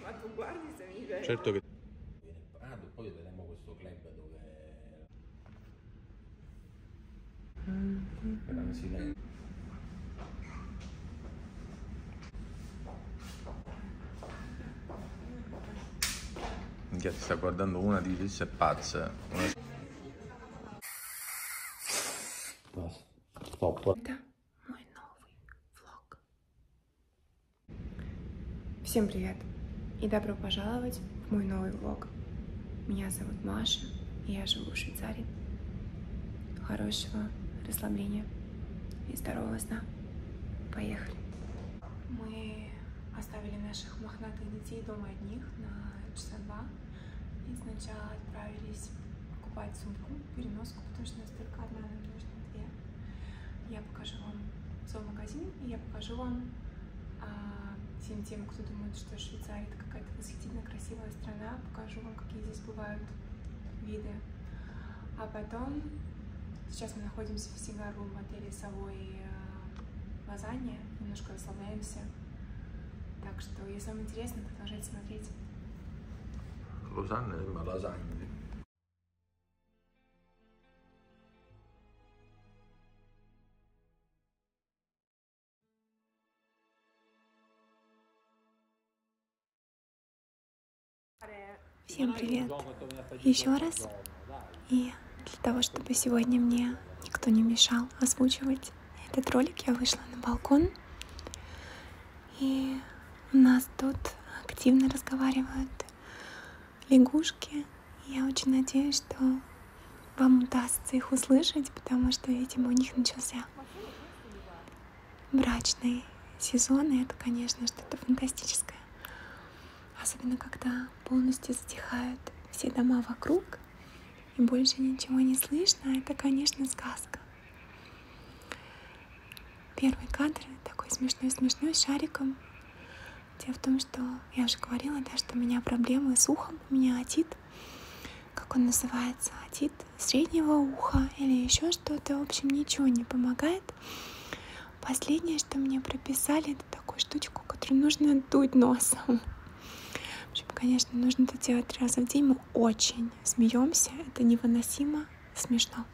Ma tu guardi se mi vedi. Certo che... Ah, poi vedremo questo club dove... Gran silenzio. Minchia, ti sta guardando una di lisse pazza. Una... Stop. мой новый влог. Всем привет и добро пожаловать в мой новый влог. Меня зовут Маша, и я живу в Швейцарии. Хорошего расслабления и здорового сна. Поехали! Мы оставили наших мохнатых детей дома одних на часа два и сначала отправились покупать сумку переноску, потому что у нас только одна, нам нужно две. Я покажу вам зоомагазин, и я покажу вам а, всем тем, кто думает, что Швейцария это какая-то восхитительно красивая страна, покажу вам, какие здесь бывают виды. А потом, сейчас мы находимся в Сигару в отеле Савой а, Лазанья, немножко расслабляемся. Так что, если вам интересно, продолжайте смотреть. Losanna sembra lasagna. Всем привет еще раз. И для того, чтобы сегодня мне никто не мешал озвучивать этот ролик, я вышла на балкон и у нас тут активно разговаривают лягушки. Я очень надеюсь, что вам удастся их услышать, потому что, видимо, у них начался брачный сезон, и это, конечно, что-то фантастическое. Особенно, когда полностью затихают все дома вокруг, и больше ничего не слышно, это, конечно, сказка. Первый кадр такой смешной-смешной с шариком. Дело в том, что я уже говорила, да, что у меня проблемы с ухом, у меня отит, как он называется, отит среднего уха или еще что-то, в общем, ничего не помогает. Последнее, что мне прописали, это такую штучку, которую нужно дуть носом. В общем, конечно, нужно это делать три раза в день, прям ну, очень смеемся, это невыносимо смешно.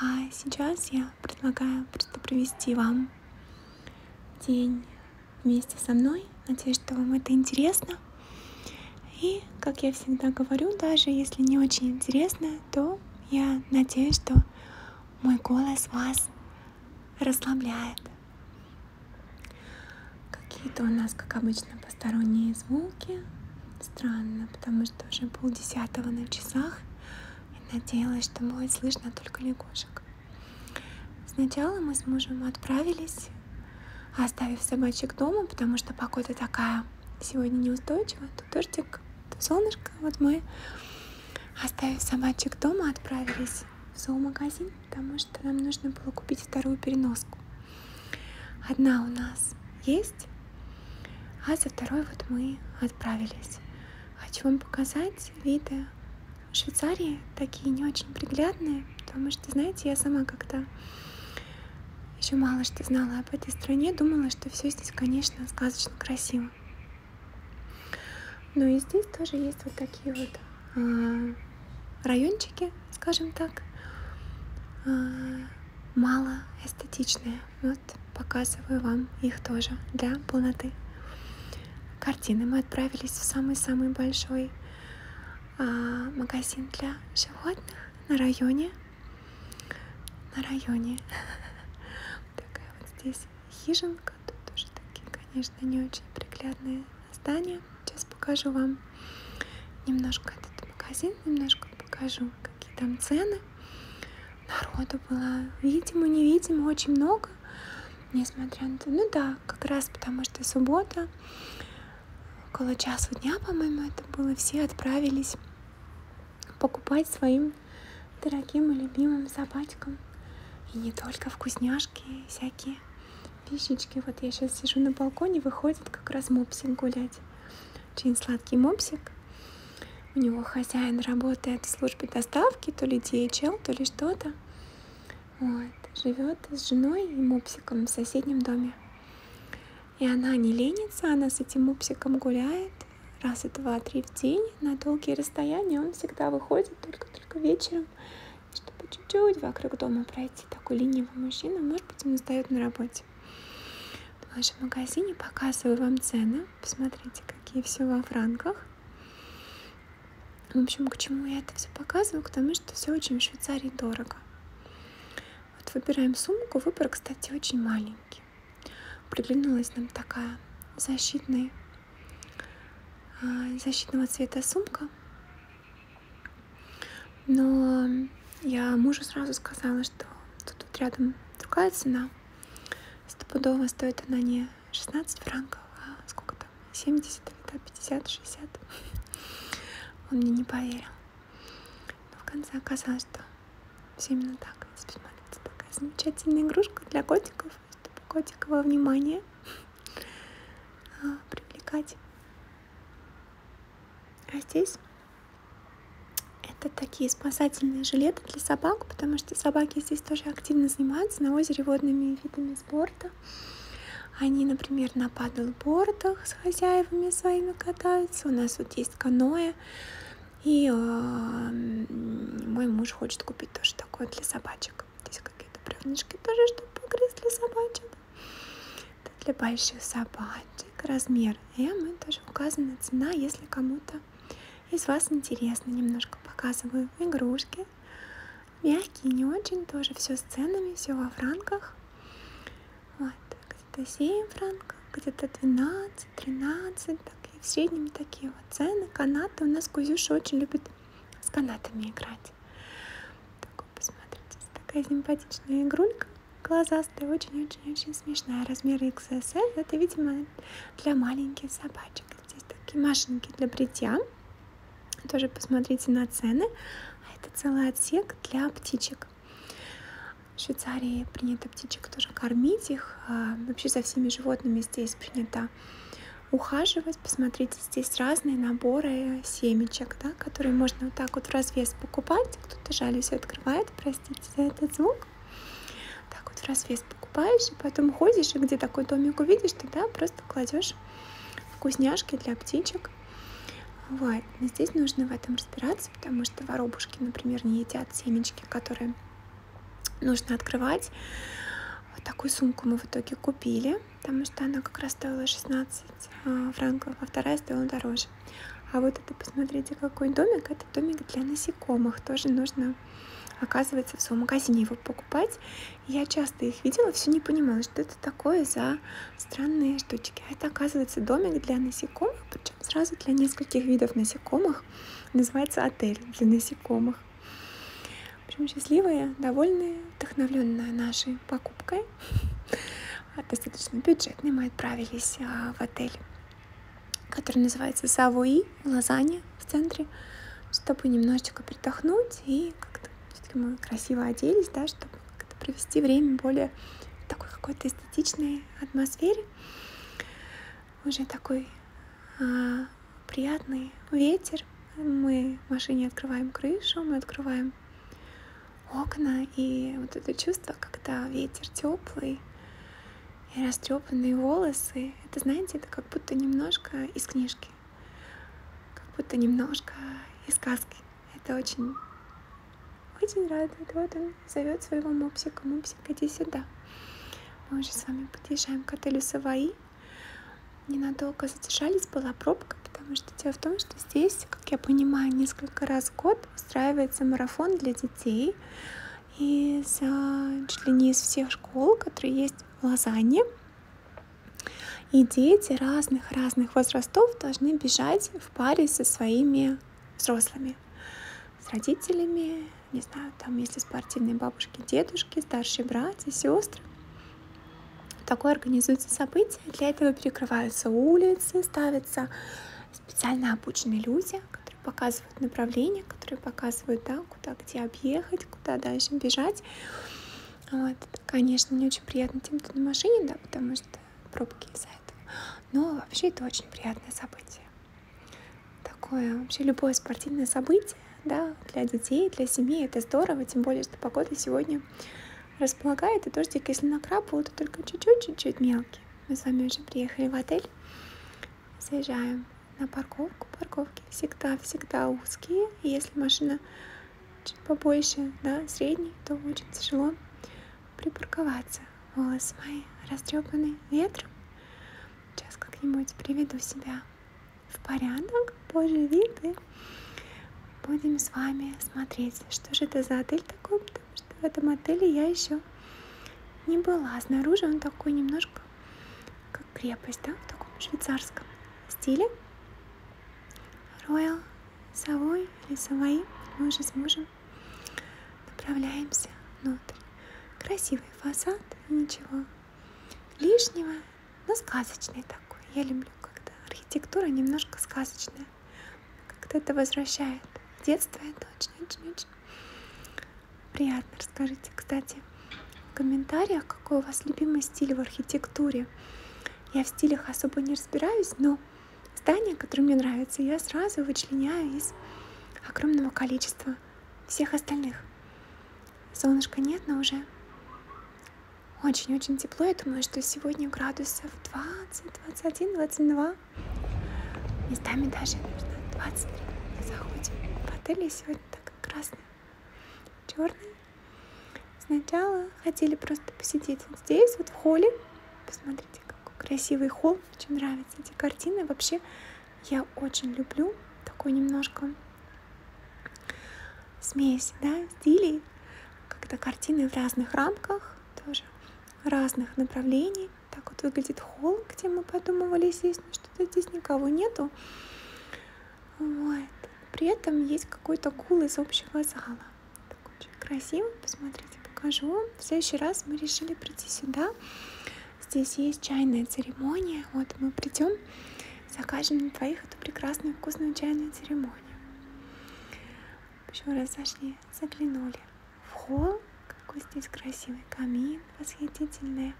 А сейчас я предлагаю просто провести вам день вместе со мной. Надеюсь, что вам это интересно. И, как я всегда говорю, даже если не очень интересно, то я надеюсь, что мой голос вас расслабляет. Какие-то у нас, как обычно, посторонние звуки. Странно, потому что уже полдесятого на часах. И надеялась, что будет слышно только лягушек. Сначала мы с мужем отправились, оставив собачек дома, потому что погода такая сегодня неустойчивая. То дождик, то солнышко. Вот мы, оставив собачек дома, отправились в зоомагазин потому что нам нужно было купить вторую переноску. Одна у нас есть, а за второй вот мы отправились. Хочу вам показать виды Швейцарии, такие не очень приглядные, потому что, знаете, я сама как-то еще мало что знала об этой стране, думала, что все здесь, конечно, сказочно красиво. Но и здесь тоже есть вот такие вот а, райончики, скажем так, а, мало эстетичные. Вот показываю вам их тоже для полноты. Картины мы отправились в самый-самый большой а, магазин для животных на районе. На районе. Такая вот здесь хижинка. Тут тоже такие, конечно, не очень приглядные здание. Сейчас покажу вам немножко этот магазин, немножко покажу, какие там цены. Народу было, видимо, невидимо, очень много, несмотря на то, ну да, как раз потому что суббота, около часу дня, по-моему, это было, все отправились покупать своим дорогим и любимым собачкам. И не только вкусняшки, всякие Пищечки. Вот я сейчас сижу на балконе, выходит как раз мопсик гулять. Очень сладкий мопсик. У него хозяин работает в службе доставки, то ли DHL, то ли что-то. Вот. Живет с женой и мопсиком в соседнем доме. И она не ленится, она с этим мопсиком гуляет раза два-три в день на долгие расстояния. Он всегда выходит только-только вечером чтобы чуть-чуть вокруг дома пройти. Такой ленивый мужчина, может быть, он сдает на работе. В нашем магазине показываю вам цены. Посмотрите, какие все во франках. В общем, к чему я это все показываю? К тому, что все очень в Швейцарии дорого. Вот выбираем сумку. Выбор, кстати, очень маленький. Приглянулась нам такая защитная а, защитного цвета сумка но я мужу сразу сказала, что тут вот рядом другая цена. Стопудово стоит она не 16 франков, а сколько там, 70 или 50, 60. Он мне не поверил. Но в конце оказалось, что все именно так. Теперь смотрите, такая замечательная игрушка для котиков, чтобы котиковое внимание а, привлекать. А здесь это такие спасательные жилеты для собак, потому что собаки здесь тоже активно занимаются на озере водными видами спорта. Они, например, на падлбордах с хозяевами своими катаются. У нас вот есть каноэ. И э, мой муж хочет купить тоже такое для собачек. Здесь какие-то бревнышки тоже, чтобы погрызть для собачек. Это для больших собачек. Размер М. И тоже указана цена, если кому-то из вас интересно. Немножко показываю игрушки. Мягкие, не очень. Тоже все с ценами, все во франках. Вот. Где-то 7 франков, где-то 12, 13. Такие, в среднем такие вот цены. Канаты. У нас Кузюша очень любит с канатами играть смотрите. Так, посмотрите, такая симпатичная игрулька. Глазастая, очень-очень-очень смешная. Размер XSL. Это, видимо, для маленьких собачек. Здесь такие машинки для бритья. Тоже посмотрите на цены. А это целый отсек для птичек. В Швейцарии принято птичек тоже кормить их. А, вообще за всеми животными здесь принято ухаживать. Посмотрите здесь разные наборы семечек, да, которые можно вот так вот в развес покупать. Кто-то жалюсь открывает, простите за этот звук. Так вот в развес покупаешь, и потом ходишь, и где такой домик увидишь, тогда просто кладешь вкусняшки для птичек. Вот. Но здесь нужно в этом разбираться, потому что воробушки, например, не едят семечки, которые нужно открывать. Вот такую сумку мы в итоге купили потому что она как раз стоила 16 а, франков, а вторая стоила дороже. А вот это, посмотрите, какой домик. Это домик для насекомых. Тоже нужно, оказывается, в зоомагазине его покупать. Я часто их видела, все не понимала, что это такое за странные штучки. А это, оказывается, домик для насекомых, причем сразу для нескольких видов насекомых. Называется отель для насекомых. В общем, счастливые, довольные, вдохновленные нашей покупкой. А, достаточно бюджетный, мы отправились а, в отель, который называется Савуи, Лазанья в центре, чтобы немножечко притохнуть и как-то все-таки мы красиво оделись, да, чтобы как-то провести время более в такой какой-то эстетичной атмосфере. Уже такой а, приятный ветер, мы в машине открываем крышу, мы открываем окна, и вот это чувство, когда ветер теплый и растрепанные волосы, это, знаете, это как будто немножко из книжки, как будто немножко из сказки. Это очень, очень радует. Вот он зовет своего мопсика, мопсик, иди сюда. Мы уже с вами подъезжаем к отелю Саваи. Ненадолго немного задержались, была пробка, потому что дело в том, что здесь, как я понимаю, несколько раз в год устраивается марафон для детей из чуть ли не из всех школ, которые есть в Лозанне. И дети разных-разных возрастов должны бежать в паре со своими взрослыми, с родителями, не знаю, там если спортивные бабушки, дедушки, старшие братья, сестры. Такое организуется событие, для этого перекрываются улицы, ставятся специально обученные люди, которые показывают направление, которые показывают, да, куда, где объехать, куда дальше бежать. Вот. Это, конечно, не очень приятно тем, кто на машине, да, потому что пробки из-за этого. Но вообще это очень приятное событие. Такое вообще любое спортивное событие, да, для детей, для семьи это здорово, тем более, что погода сегодня располагает, и дождик, если накрапывал, то только чуть-чуть-чуть мелкий. Мы с вами уже приехали в отель, заезжаем на парковку. Парковки всегда-всегда узкие, и если машина чуть побольше, да, средний, то очень тяжело припарковаться. Волосы мои растрепаны ветром. Сейчас как-нибудь приведу себя в порядок поживиты. Будем с вами смотреть, что же это за отель такой, потому что в этом отеле я еще не была. Снаружи он такой немножко как крепость, да, в таком швейцарском стиле. Royal Savoy или Savoy. Мы уже с мужем направляемся внутрь. Красивый фасад, ничего лишнего, но сказочный такой. Я люблю люблю, когда архитектура немножко сказочная. Как-то это возвращает. Детство это очень-очень-очень приятно. Расскажите, кстати, в комментариях, какой у вас любимый стиль в архитектуре. Я в стилях особо не разбираюсь, но здания, которые мне нравятся, я сразу вычленяю из огромного количества всех остальных. Солнышка нет, но уже очень-очень тепло. Я думаю, что сегодня градусов 20, 21, 22. Местами даже, наверное, 23. Мы заходим в отеле. Сегодня так красный, черный. Сначала хотели просто посидеть вот здесь, вот в холле. Посмотрите, какой красивый холл. Очень нравятся эти картины. Вообще, я очень люблю такой немножко смесь, да, стилей когда картины в разных рамках, тоже разных направлений. Так вот выглядит холл, где мы подумывали здесь, но что-то здесь никого нету. Вот. При этом есть какой-то гул из общего зала. Так очень красиво, посмотрите, покажу. В следующий раз мы решили прийти сюда. Здесь есть чайная церемония. Вот мы придем, закажем на двоих эту прекрасную вкусную чайную церемонию огонь. Еще раз зашли, заглянули в холл, какой здесь красивый камин, восхитительные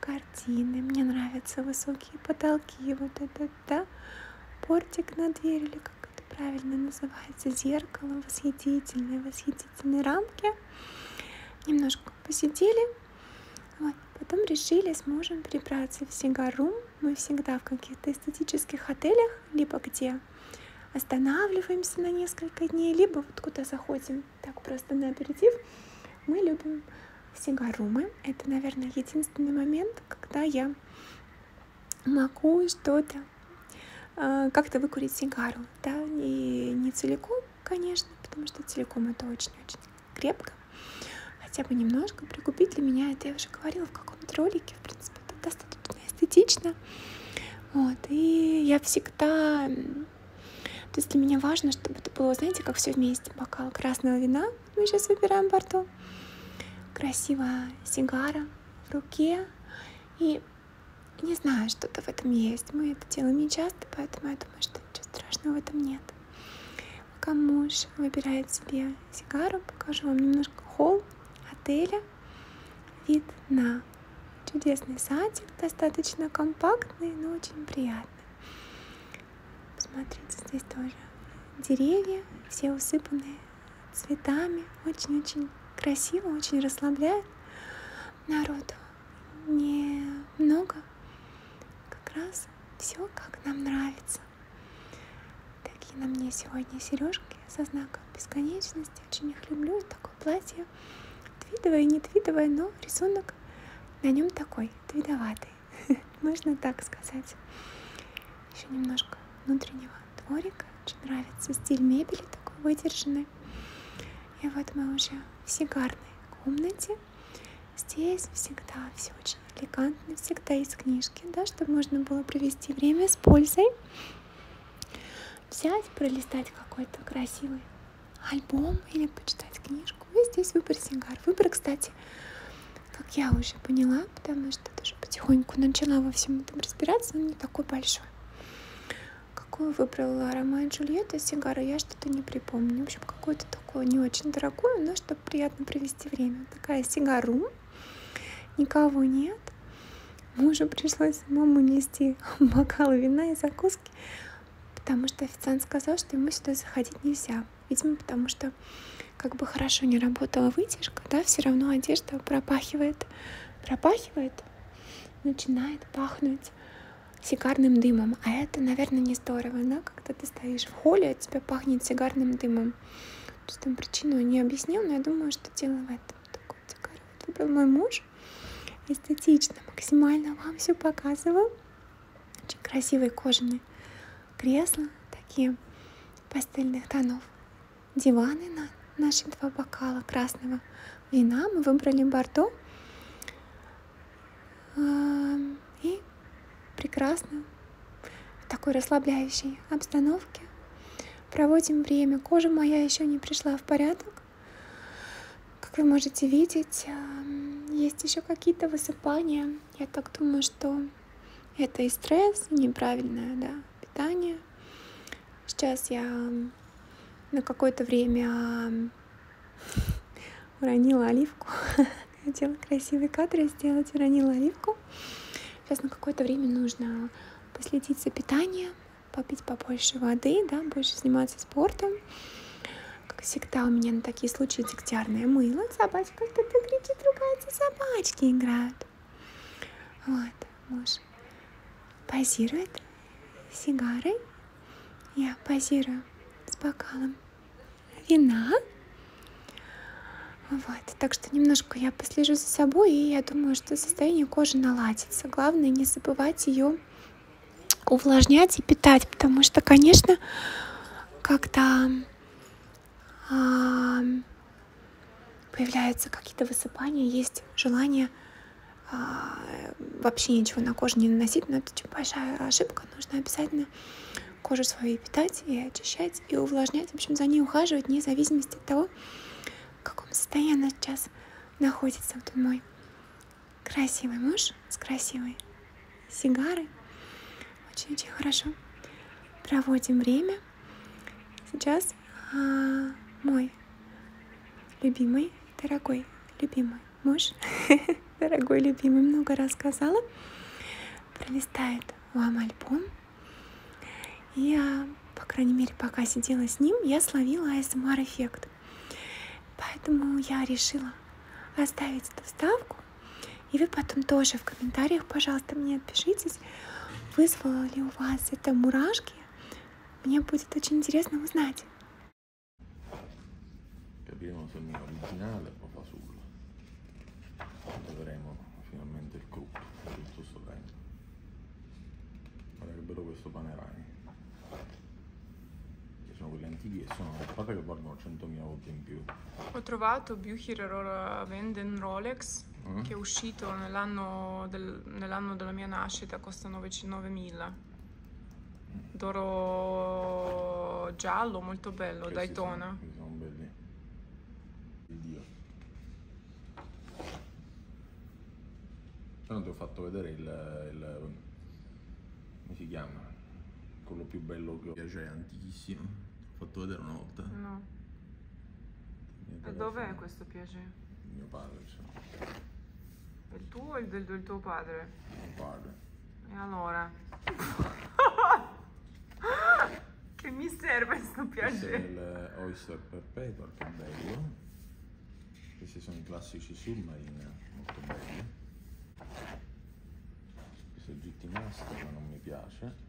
картины. Мне нравятся высокие потолки, вот этот, да, портик на дверь, или как это правильно называется, зеркало, восхитительные, восхитительные рамки. Немножко посидели, вот. потом решили с мужем прибраться в сигарум, мы всегда в каких-то эстетических отелях, либо где останавливаемся на несколько дней, либо вот куда заходим так просто на аперитив, мы любим сигарумы. Это, наверное, единственный момент, когда я могу что-то э, как-то выкурить сигару, да, и не целиком, конечно, потому что целиком это очень-очень крепко, хотя бы немножко прикупить для меня это я уже говорила в каком-то ролике в принципе это достаточно эстетично вот и я всегда то есть для меня важно чтобы это было знаете как все вместе бокал красного вина мы сейчас выбираем борту красивая сигара в руке и не знаю, что-то в этом есть. Мы это делаем не часто, поэтому я думаю, что ничего страшного в этом нет. Пока муж выбирает себе сигару, покажу вам немножко холл отеля. Вид на чудесный садик, достаточно компактный, но очень приятный. Посмотрите, здесь тоже деревья, все усыпанные цветами. Очень-очень красиво, очень расслабляет. Народу немного. Как раз все, как нам нравится. Такие на мне сегодня сережки со знаком бесконечности. Очень их люблю. Такое платье. Твидовое, не твидовое, но рисунок на нем такой, твидоватый. Можно так сказать. Еще немножко внутреннего дворика. Очень нравится стиль мебели такой выдержанный. И вот мы уже в сигарной комнате. Здесь всегда все очень же элегантно, всегда из книжки, да, чтобы можно было провести время с пользой. Взять, пролистать какой-то красивый альбом или почитать книжку. И здесь выбор сигар. Выбор, кстати, как я уже поняла, потому что даже потихоньку начала во всем этом разбираться, но не такой большой. Какую выбрала Ромео и Джульетта сигары, я что-то не припомню. В общем, какую-то такую не очень дорогую, но чтобы приятно провести время. Такая сигару Никого нет. Мужу пришлось самому нести бокалы вина и закуски, потому что официант сказал, что ему сюда заходить нельзя. Видимо, потому что как бы хорошо не работала вытяжка, да, все равно одежда пропахивает, пропахивает, начинает пахнуть сигарным дымом. А это, наверное, не здорово, да, когда ты стоишь в холле, от а тебя пахнет сигарным дымом. Что там причину я не объяснил, но я думаю, что дело в этом. Такой декор выбрал мой муж. Эстетично, максимально вам все показываю. Очень красивые кожаные кресла, такие пастельных тонов. Диваны на наши два бокала красного вина. Мы выбрали бордо. И прекрасно в такой расслабляющей обстановке. Проводим время. Кожа моя еще не пришла в порядок. Как вы можете видеть, есть еще какие-то высыпания. Я так думаю, что это и стресс, и неправильное да, питание. Сейчас я на какое-то время уронила оливку. хотела красивые кадры сделать, уронила оливку. Сейчас на какое-то время нужно последить за питанием, попить побольше воды, да, больше заниматься спортом. Как всегда, у меня на такие случаи дегтярное мыло. Собачка кто-то кричит, ругается, собачки играют. Вот, муж позирует сигарой. Я позирую с бокалом вина. Вот. Так что немножко я послежу за собой, и я думаю, что состояние кожи наладится. Главное не забывать ее увлажнять и питать, потому что, конечно, когда а, появляются какие-то высыпания, есть желание а, вообще ничего на кожу не наносить, но это очень типа большая ошибка, нужно обязательно кожу свою питать, и очищать, и увлажнять. В общем, за ней ухаживать, вне зависимости от того, в каком состоянии она сейчас находится. Вот он мой красивый муж с красивой сигарой. Очень-очень хорошо проводим время. Сейчас а, мой любимый, дорогой, любимый муж, дорогой, любимый, много рассказала, пролистает вам альбом. И, по крайней мере, пока сидела с ним, я словила ASMR-эффект. Поэтому я решила оставить эту вставку. И вы потом тоже в комментариях, пожалуйста, мне отпишитесь, вызвало ли у вас это мурашки. Мне будет очень интересно узнать. vedremo finalmente il cru tutto sto legno guarda che bello questo panerai che sono quelli antichi e sono fate che valgono 100.000 volte in più ho trovato Bucher Rola Venden Rolex mm. che è uscito nell'anno del, nell della mia nascita costa 9.000 d'oro giallo molto bello Questi Daytona sono, sono belli Dio. Però ti ho fatto vedere il, il come si chiama? Quello più bello che ho. Cioè, è antichissimo. Ti ho fatto vedere una volta. No. E dov'è questo piacere? Il mio padre, cioè. Il tuo o il del, del tuo padre? Il mio padre. E allora? Che mi serve sto piacere? Questo è il eh, oyster perpetua al cammello. Questi sono i classici submarina, molto belli. Questo è il GT Master, ma non mi piace.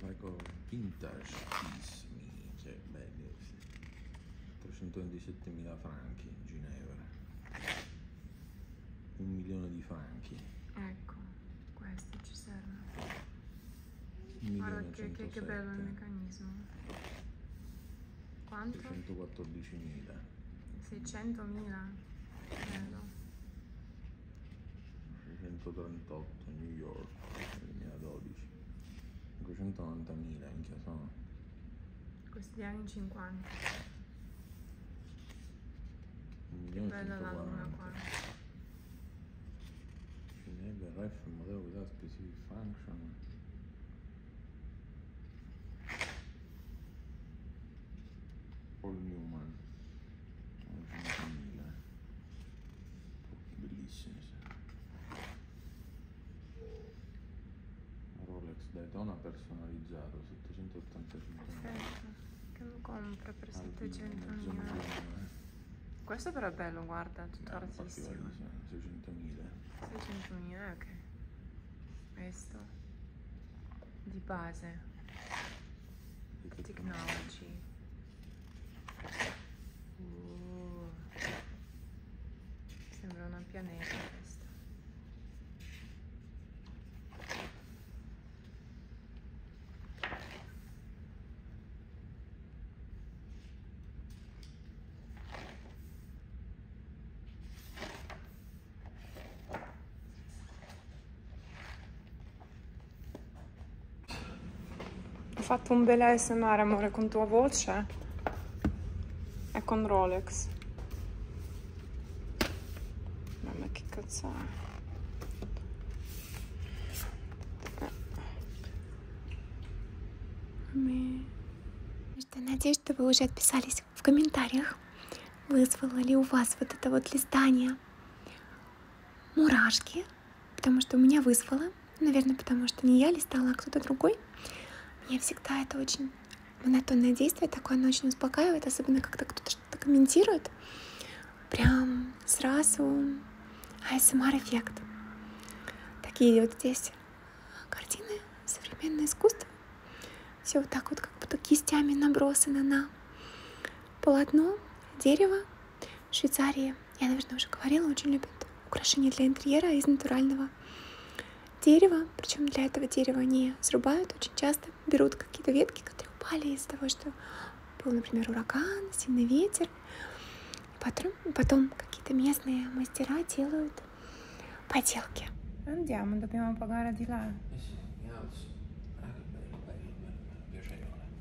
vai con vintage piece minchia cioè, belli 327.000 franchi Ginevra un milione di franchi ecco questo ci serve guarda che, che, che bello il meccanismo quanto? 314.000 600.000 bello 638 New York 2012 590.000 minchia sono questi anni 50 che bella la luna qua enable ref modello without specific function Paul Newman 150.000 bellissime Rolex Daytona personalizzato 785 Perfetto. che lo compro per 700 milioni eh. questo però è bello guarda tutto eh, 600.000 600.000 eh, ok questo di base technology Uh, sembra una pianeta questa. Ho fatto un bel ASMR amore con tua voce e con Rolex. Mamma che cazzo è? Надеюсь, что вы уже отписались в комментариях, вызвало ли у вас вот это вот листание мурашки, потому что меня вызвало, наверное, потому что не я листала, а кто-то другой. Мне всегда это очень монотонное действие, такое оно очень успокаивает, особенно когда кто-то что-то комментирует. Прям сразу ASMR-эффект. Эм Такие вот здесь картины, современное искусство. Все вот так вот, как будто кистями набросано на полотно, дерево, в Швейцарии, я, наверное, уже говорила, очень любят украшения для интерьера из натурального дерева. Причем для этого дерева не срубают очень часто. Берут какие-то ветки, которые упали из-за того, что был, например, ураган, сильный ветер. Потом, потом какие-то местные мастера делают поделки. Andiamo, dobbiamo pagare di là. Eh sì,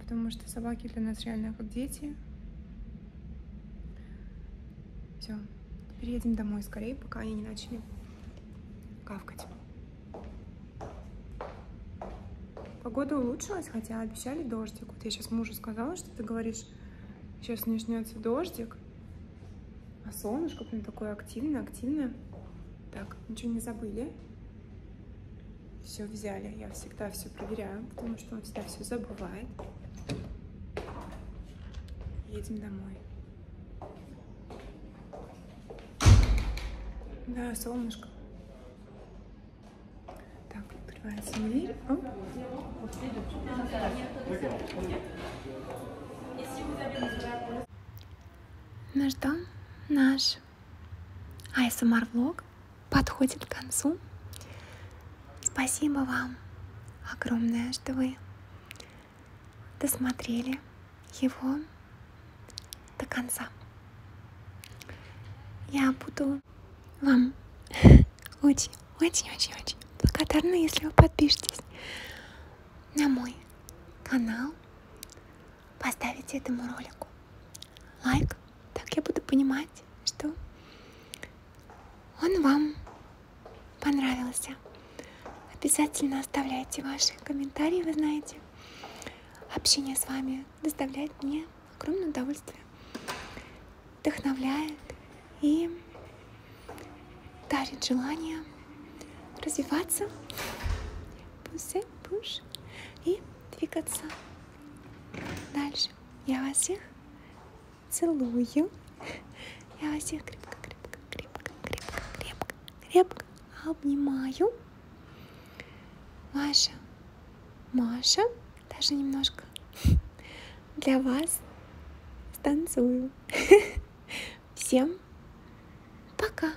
потому что собаки для нас реально как дети. Все, теперь едем домой скорее, пока они не начали кавкать. Погода улучшилась, хотя обещали дождик. Вот я сейчас мужу сказала, что ты говоришь, сейчас начнется дождик, а солнышко прям такое активное, активное. Так, ничего не забыли все взяли. Я всегда все проверяю, потому что он всегда все забывает. Едем домой. Да, солнышко. Так, открывается дверь. О. Наш дом наш. ASMR а влог подходит к концу. Спасибо вам огромное, что вы досмотрели его до конца. Я буду вам очень-очень-очень-очень благодарна, если вы подпишетесь на мой канал, поставите этому ролику лайк, так я буду понимать, что он вам понравился. Обязательно оставляйте ваши комментарии, вы знаете. Общение с вами доставляет мне огромное удовольствие, вдохновляет и дарит желание развиваться, пусть, пуш и двигаться дальше. Я вас всех целую. Я вас всех крепко, крепко, крепко, крепко, крепко, крепко обнимаю. Ваша Маша даже немножко для вас станцую. Всем пока!